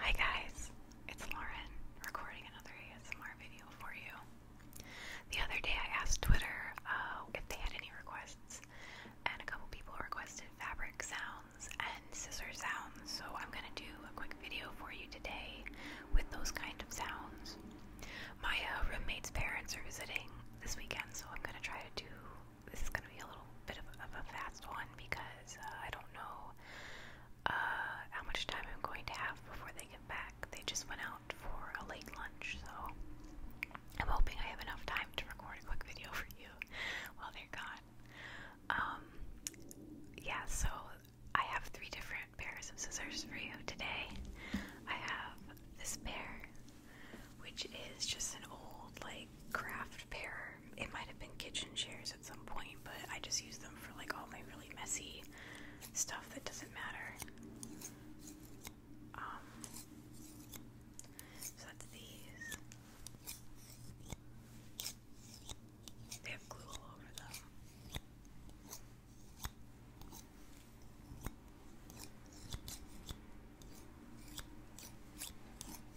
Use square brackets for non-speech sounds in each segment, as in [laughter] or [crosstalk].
Hi guys, it's Lauren recording another ASMR video for you. The other day I asked Twitter uh, if they had any requests, and a couple people requested fabric sounds and scissor sounds, so I'm gonna do a quick video for you today with those kind of sounds. My uh, roommate's parents are visiting this weekend, so I'm gonna try to do this is gonna be a little bit of, a fast one because uh, I don't know uh, how much time I'm going to have before they get back. They just went out for a late lunch, so I'm hoping I have enough time to record a quick video for you [laughs] while they're gone. Um, yeah, so I have three different pairs of scissors for you today. I have this pair, which is just an old, like, craft preparer. It might have been kitchen chairs at some point, but I just use them for like all my really messy stuff that doesn't matter. Um, so that's these. They have glue all over them.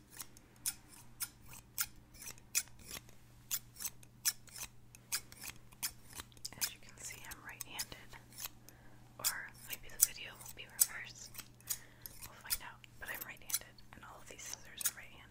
As you can see, I'm right handed. Or maybe the video will be reversed. We'll find out. But I'm right handed, and all of these scissors are right handed.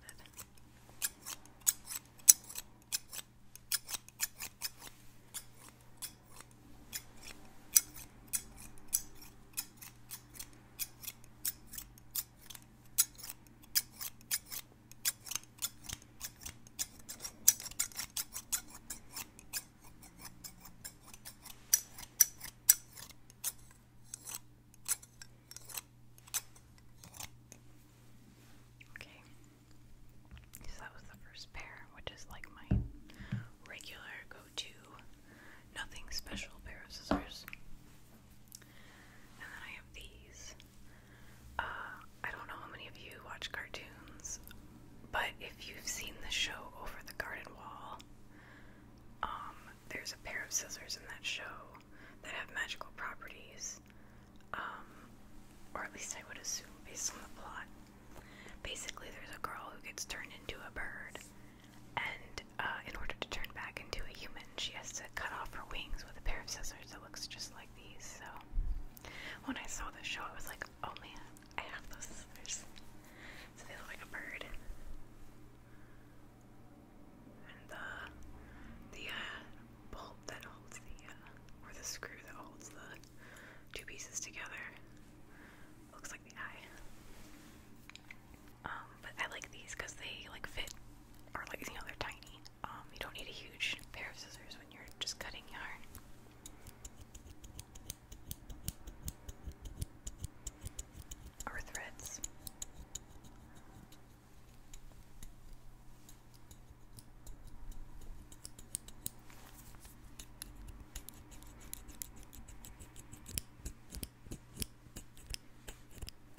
Okay, so that was the first pair, which is like my regular go to, nothing special pair of scissors. And then I have these. Uh, I don't know how many of you watch cartoons, but if you've seen the show Over the Garden Wall, um, there's a pair of scissors in that show that have magical properties. Um, or at least I would assume based on the plot. Basically, there's a girl who gets turned into a bird, and uh, in order to turn back into a human, she has to cut off her wings with a pair of scissors that looks just like these. So when I saw this show, it was like, oh man, I have scissors. So they look like a bird. And the, the uh, bolt that holds the, uh, or the screw that holds the two pieces together looks like the eye. Um, but I like these because they like fit, or like you know they're tiny. Um, you don't need a huge pair of scissors when you're just cutting yarn. Or threads.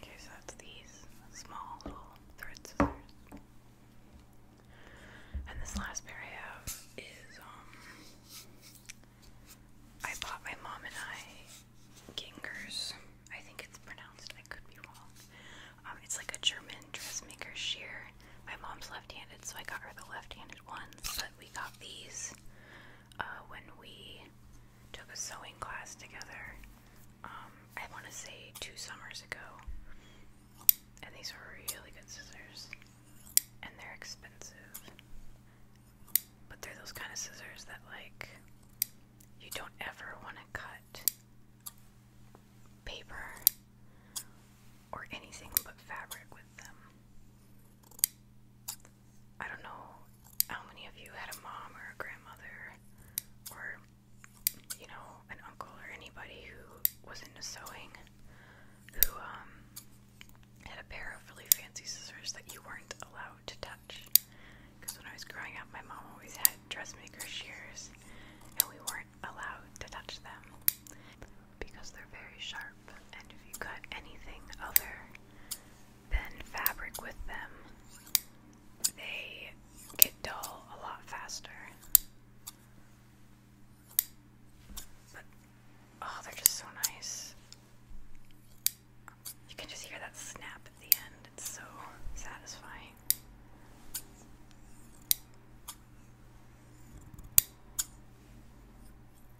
Okay, so that's these small little thread scissors. And this last pair I have is um I bought my mom and I Gingers. I think it's pronounced, I could be wrong. Um, it's like a German dressmaker shear. My mom's left handed, so I got her the left handed ones, but we got these uh, when we took a sewing class together. Um, I want to say two summers ago, and these were really good scissors, and they're expensive, but they're those kind of scissors that like you don't ever want to cut paper or anything but fabric with them. I don't know how many of you had a mom or a grandmother or, you know, an uncle or anybody who was into sewing who um, had a pair of really fancy scissors that you weren't allowed to touch. Because when I was growing up, my mom always had dressmaker shears and we weren't allowed to touch them because they're very sharp, and if you cut anything other than fabric with them, they get dull a lot faster. But, oh, they're just so nice. You can just hear that snap at the end, it's so satisfying.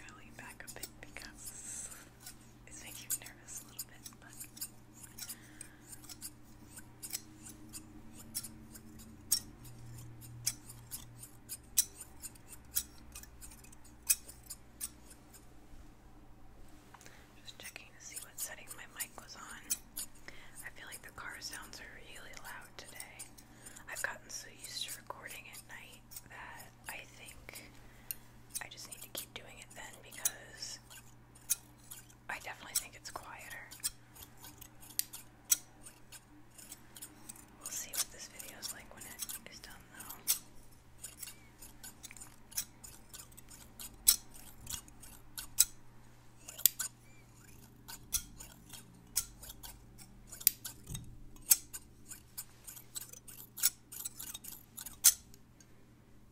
I'll back a bit because it's making me nervous a little bit, but just checking to see what setting my mic was on. I feel like the car sounds really loud today. I've gotten so used to recording at night that I think I just need to keep doing it then because I definitely think it's quieter. We'll see what this video is like when it is done, though.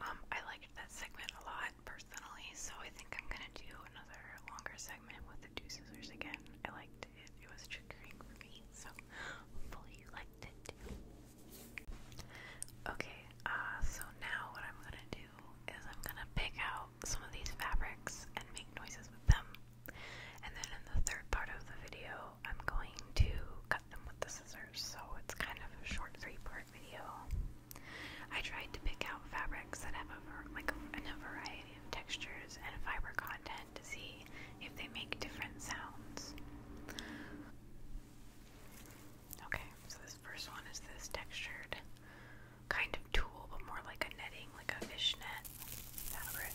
Um, I liked that segment a lot personally, so I think I'm gonna do another longer segment with the two scissors again. I liked it, it was triggering for me, so hopefully you liked it Okay, uh, so now what I'm gonna do is I'm gonna pick out some of these fabrics and make noises with them. And then in the third part of the video, I'm going to cut them with the scissors. So it's kind of a short three-part video. I tried to pick out fabrics that have a, like a variety of textures and fiber content to see if they make different sounds. Okay, so this first one is this textured kind of tulle, but more like a netting, like a fishnet fabric.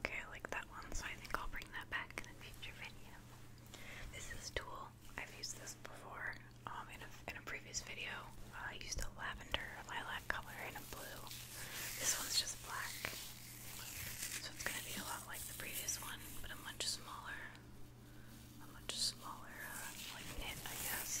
Okay, I like that one, so I think I'll bring that back in a future video. This is Tool. I've used this before um, in, a, previous video. I used a lavender lilac color and a blue. This one's just black. So it's going to be a lot like the previous one, but a much smaller, a much smaller, uh, like knit, I guess.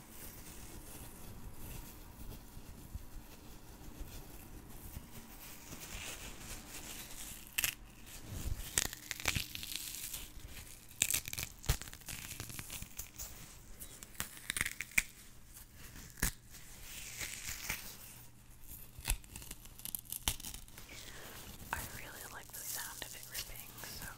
I really like the sound of ripping,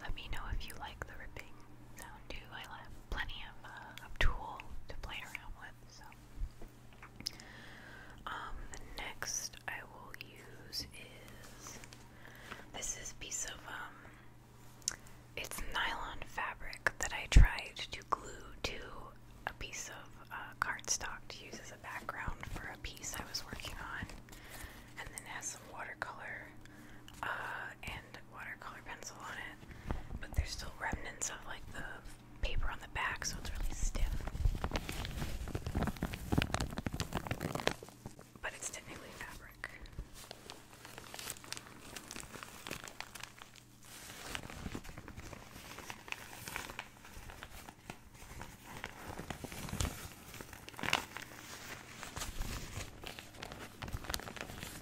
Let me know if you like the ripping sound too. I have plenty of, uh, tool to play around with. So, um, the next I will use is this is piece of um, it's nylon fabric that I tried to glue to a piece of uh, cardstock to use as a background for a piece I was working on, and then has some watercolor uh, and watercolor pencil on it, but there's still remnants of like the paper on the back, so it's really stiff. But it's technically fabric.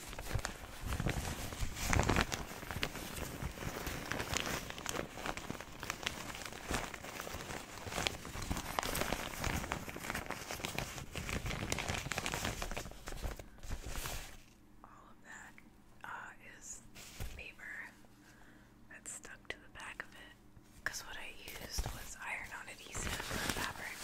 All of that uh, paper that's stuck to the back of it because what I used was iron on adhesive fabric.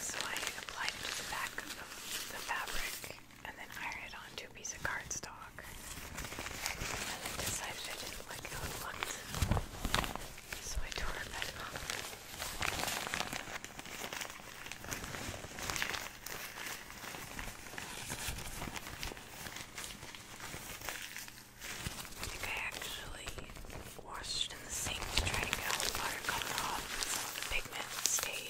So I applied it to the back of the fabric and then iron it onto a piece of cardstock. And then decided I didn't like how it looked. So I tore it back off. I think I actually washed in the sink to try to get all the water coming off so the pigment stayed.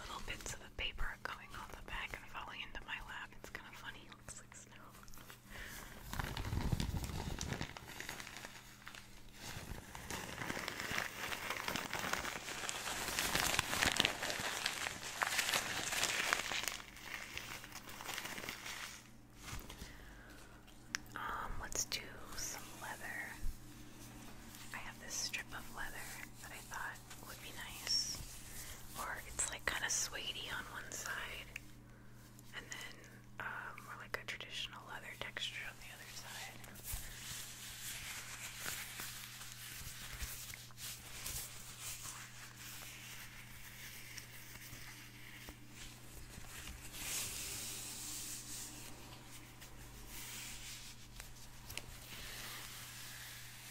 little bits of the paper coming off the back and falling into my lap. It's kind of funny. looks like snow. Um, let's do some leather. I have this strip of leather that I thought would be nice. Or it's like kind of suede on one side, and then more um, like a traditional leather texture on the other side.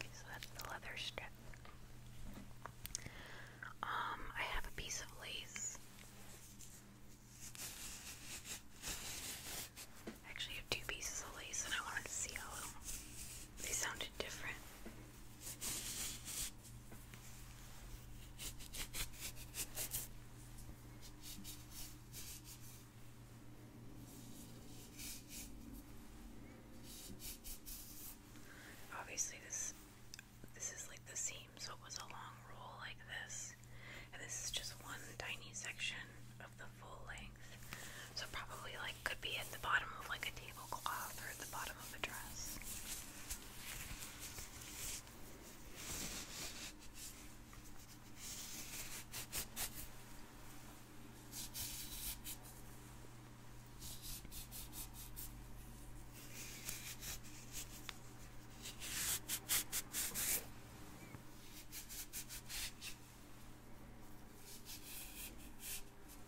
so that's the leather strip. Um, I have a piece of lace. I actually have two pieces of lace and I wanted to see how they sounded different. Obviously this this is like the seam, so it was a long roll like this. And this is just one tiny section of the full length. So probably like could be at the bottom of like a tablecloth or at the bottom of a dress.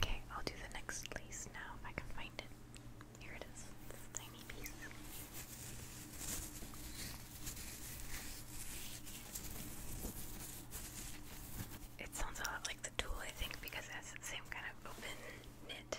Okay, I'll do the next lace now if I can find it. Here it is, tiny piece. It sounds a lot like the tool, I think, because that's the same kind of open knit.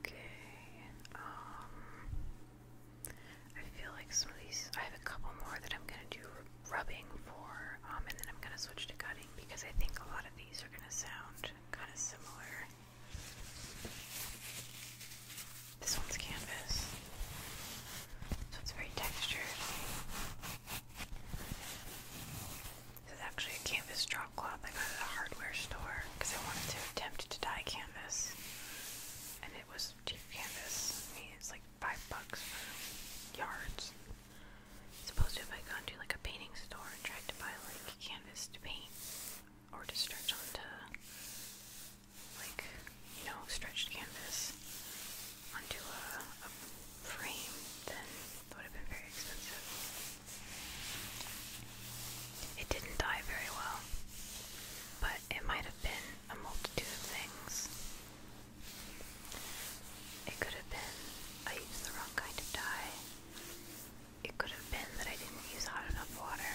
Okay. Um I feel like some of these I have a couple more that I'm gonna do rubbing for, um, and then I'm gonna switch to cutting because I think a lot of these are gonna sound kinda similar. This one's canvas. So it's very textured. This is actually a canvas drop cloth I got at a hardware store because I wanted to attempt to dye canvas. And it was cheap canvas. it's like five bucks for yards. Supposed to have I gone to like a painting store and tried to buy like canvas to paint or to stretch onto like, you know, stretched canvas onto a, a frame, then it would have been very expensive. It didn't die very well, but it might have been a multitude of things. It could have been I used the wrong kind of dye. It could have been that I didn't use hot enough water,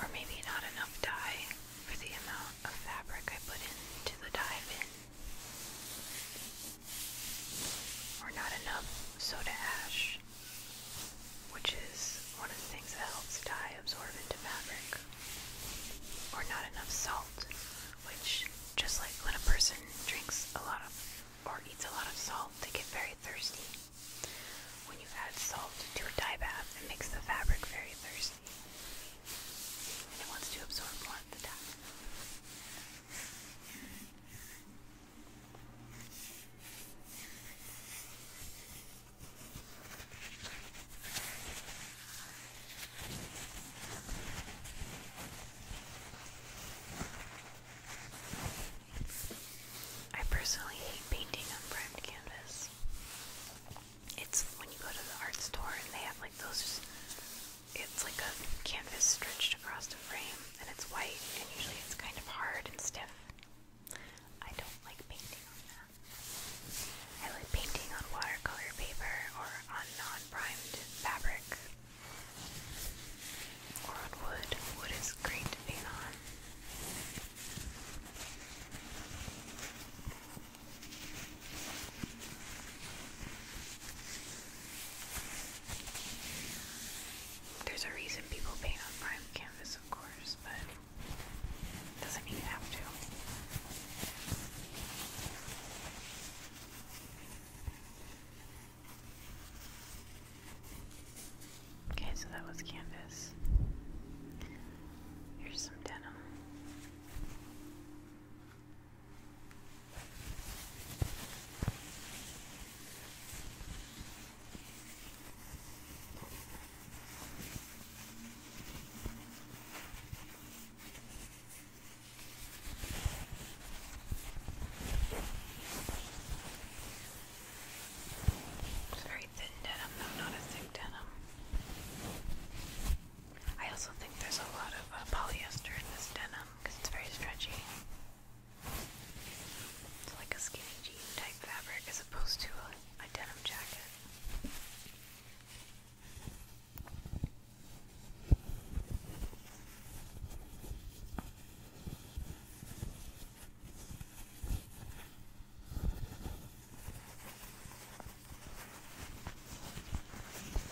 or maybe not enough dye for the amount of fabric I put into the dye bin or not enough soda ash, which is one of the things that helps dye absorb into fabric, or not enough salt, which just like when a person drinks a lot of or eats a lot of salt, they get very thirsty. When you add salt to a dye bath, it makes the fabric very thirsty. And it wants to absorb more of the dye. I personally hate painting on primed canvas. It's when you go to the art store and they have like those it's like a canvas stretched across the frame and it's white and usually it's kind of hard and stiff. I don't like painting on that. I like painting on watercolor paper or on non-primed fabric or on wood. Wood is great to paint on. There's a reason people paint on prime canvas, of course, but doesn't mean you have to. Okay, so that was canvas. Here's some denim. It's very thin denim, though, not a thick denim. I also think there's a lot of uh, polyester in this denim because it's very stretchy. It's like a skinny jean type fabric as opposed to a, a denim jacket.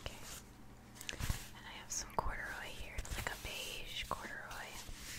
Okay. And I have some corduroy here. It's like a beige corduroy. Okay.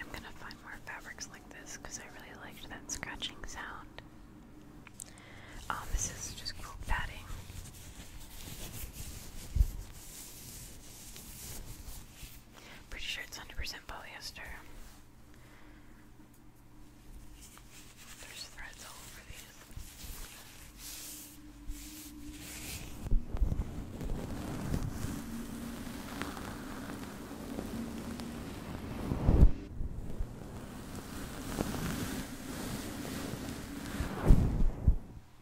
I'm going to find more fabrics like this because I really liked that scratching sound. Um, this is just cool padding. Pretty sure it's 100% polyester. There's threads all over these.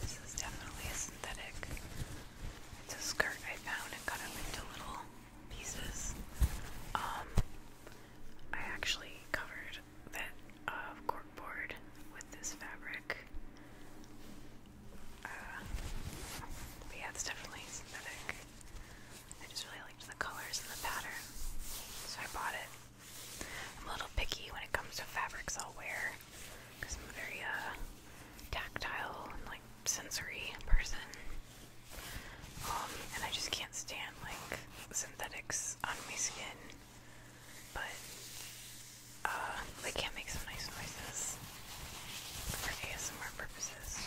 This is definitely a synthetic. It's a skirt I found and cut up into little pieces. Um, I actually covered that uh, corkboard with this fabric. Uh, but yeah, it's definitely synthetic. I just really liked the colors and the pattern, so I bought it. I'm a little picky when it comes to fabrics I'll wear because I'm a very uh, tactile and like sensory person. Um, and I just can't stand like synthetics on my skin, but uh, can make some nice noises for ASMR purposes.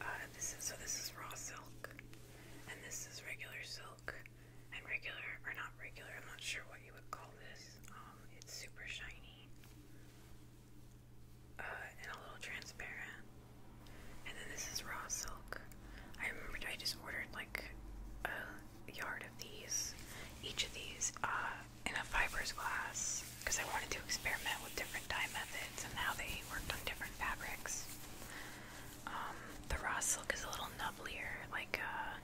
Uh, so. This is raw silk, and this is regular silk, and regular or not regular. I'm not sure what you would call this. Um, it's super shiny uh, and a little transparent, and then this is raw silk. I remembered I just ordered like a yard of these, each of these, uh, in a fibers glass because I wanted to experiment with different dye methods and how they worked on different fabrics. Um, the raw silk is a little nubblier, like, uh,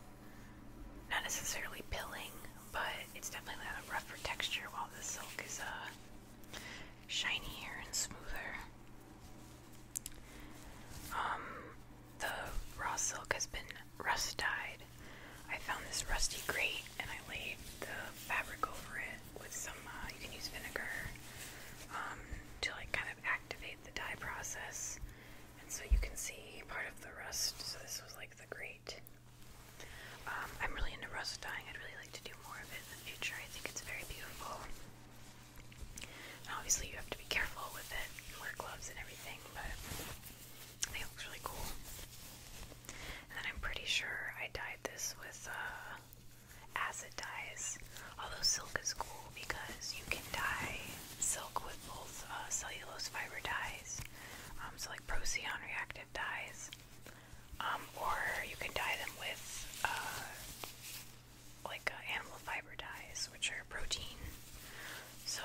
not necessarily pilling, but it's definitely a rougher texture while the silk is, uh, shinier and smoother. Um, the raw silk has been rust dyed. I found this rusty grate and I laid the fabric over it with some, uh, you can use vinegar um, to like kind of activate the dye process. And so you can see part of the rust. So this was like the grate. Um, I'm really into rust dyeing. I'd really like to do more of it in the future. I think it's very beautiful. And obviously, you have to be careful with it wear gloves and everything, but I think it looks really cool. And then I'm pretty sure I dyed this with uh, acid dyes. Although silk is cool because you can dye silk with both uh, cellulose fiber dyes, um, so like Procyon reactive dyes, um, or you can dye them with uh, like uh, animal fiber dyes, which are protein. So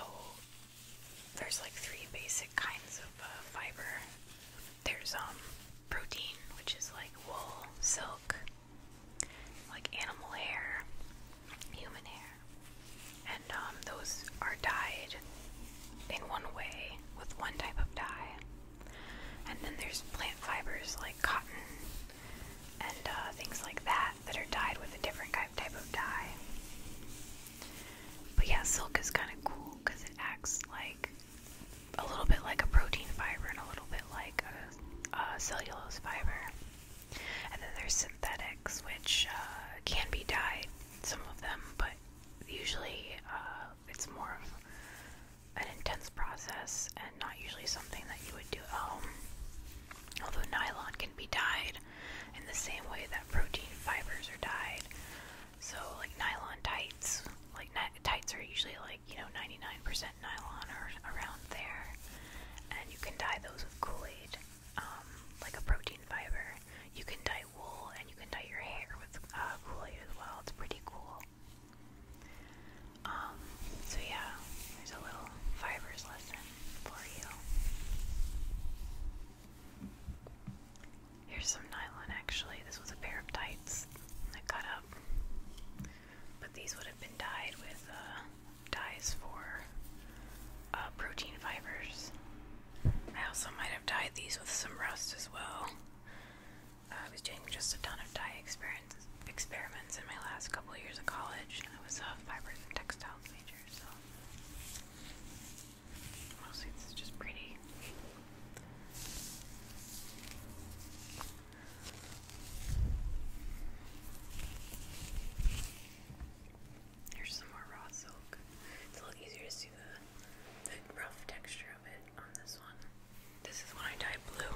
there's like three basic kinds of uh, fiber. There's um protein, which is like wool, silk, like animal hair, human hair, and um, those are dyed in one way with one type of dye. And then there's plant fibers like cotton, and uh, things like that that are dyed with a different type of dye. But yeah, silk is kind of cool because it acts like a little bit like a protein fiber and a little bit like a, cellulose fiber. And then there's synthetics, which uh, can be dyed, some of them, but usually uh, it's more of an intense process and not usually something that you would do at home. Although nylon can be dyed in the same way that protein fibers are dyed. So, like nylon tights, like tights are usually like, you know, 99% nylon or around there. And you can dye those with Kool Aid, um, like a protein fiber. You can dye wool and you can dye your hair with uh, Kool Aid as well. It's pretty cool. Um, so, yeah, there's a little fibers lesson for you. Here's some nylon actually. This was a pair of tights that cut up. But these would have been dyed with uh, dyes for uh, protein fibers. I also might have dyed these with some rust as well. I was doing just a ton of dye experiments, experiments in my last couple of years of college, education. I was a fibers and textiles major, so this is just pretty. Here's some raw silk. It's a little easier to see the, the rough texture of it on this one. This is when I dyed blue.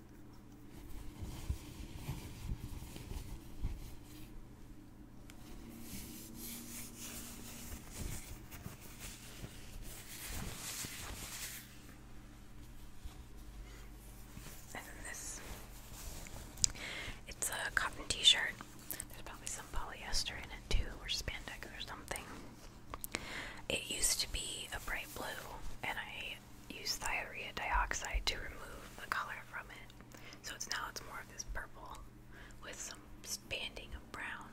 And this. It's a cotton t shirt. There's probably some polyester in it too, or spandex or something. It used to be a bright blue, and I use diarrhea dioxide to remove the color from it. So it's now it's more of this purple with some banding of brown.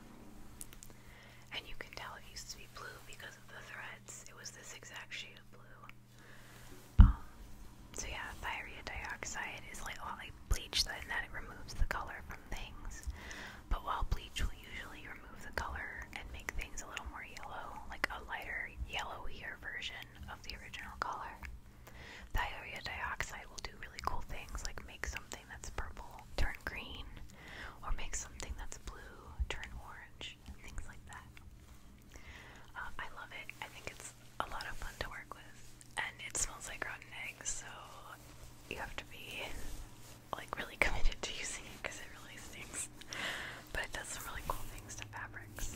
And you can tell it used to be blue because of the threads. It was this exact shade of blue. Um, so yeah, diarrhea dioxide is like a lot like bleach in that it removes the color from things. But while bleach will usually remove the color and make things a little more yellow, like a lighter yellowier version, of the original color. Diarrhea will do really cool things like make something that's purple turn green, or make something that's blue turn orange, and things like that. Uh, I love it. I think it's a lot of fun to work with, and it smells like rotten eggs, so you have to be like really [laughs] committed to using it because it really stinks. But it does some really cool things to fabrics.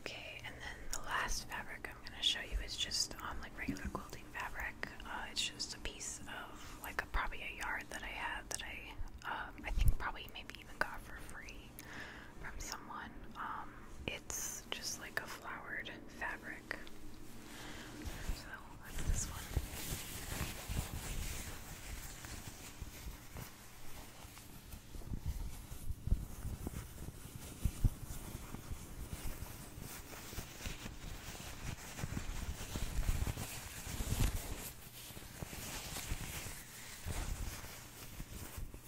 Okay, and then the last fabric I'm going to show you is just um, like regular quilting fabric. Uh, it's just a piece of like probably a yard that I had that I um, I think probably maybe even got for free from someone. Um, it's just like a flowered fabric. So that's this one.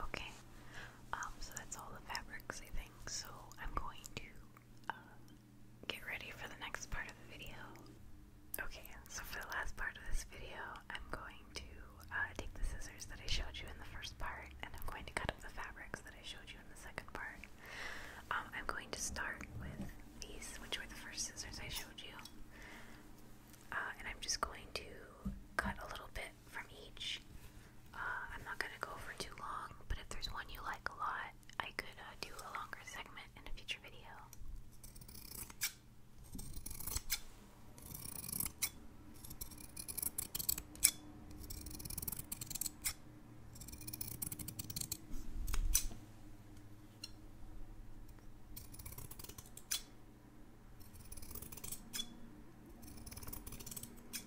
Okay, um, so that's all the fabrics I think. So I'm going to get ready for the next part of the video. Okay, so for the last part of this video, I'm going to uh, take the scissors that I showed you in the first part and I'm going to cut up the fabrics that I showed you in the second part. Um, I'm going to start with these, which were the first scissors I showed you. Uh, and I'm just going to cut a little bit from each. Uh, I'm not going to go for too long, but if there's one you like a lot, I could uh, do a longer segment in a future video.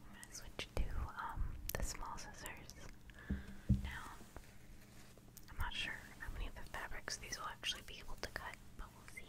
I'm gonna switch to um the small scissors now. I'm not sure how many of the fabrics these will actually be able to cut, but we'll see.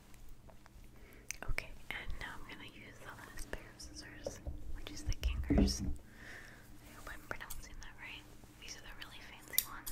Okay, and now I'm gonna use the last pair of scissors, which is the Kingers. I hope I'm pronouncing that right. These are the really fancy ones.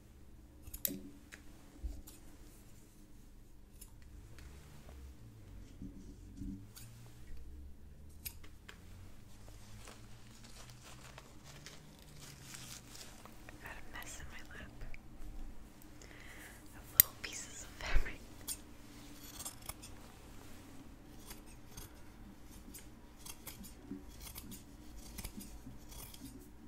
Got a mess in my lap little pieces of fabric.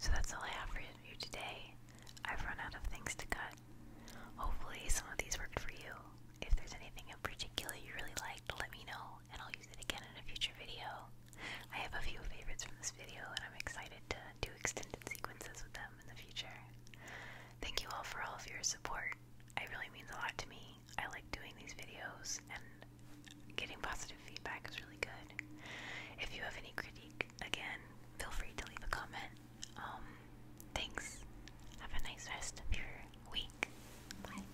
So that's all I have for you today. I've run out of things to cut. Hopefully, some of these worked for you. If there's anything in particular you really liked, let me know and I'll use it again in a future video. I have a few favorites from this video, and I'm excited to do extended sequences with them in the future. Thank you all for all of your support. It really means a lot to me. I like doing these videos, and getting positive feedback is really good. If you have any critique, again, feel free to leave a comment. Um, thanks. Have a nice rest of your week. Bye.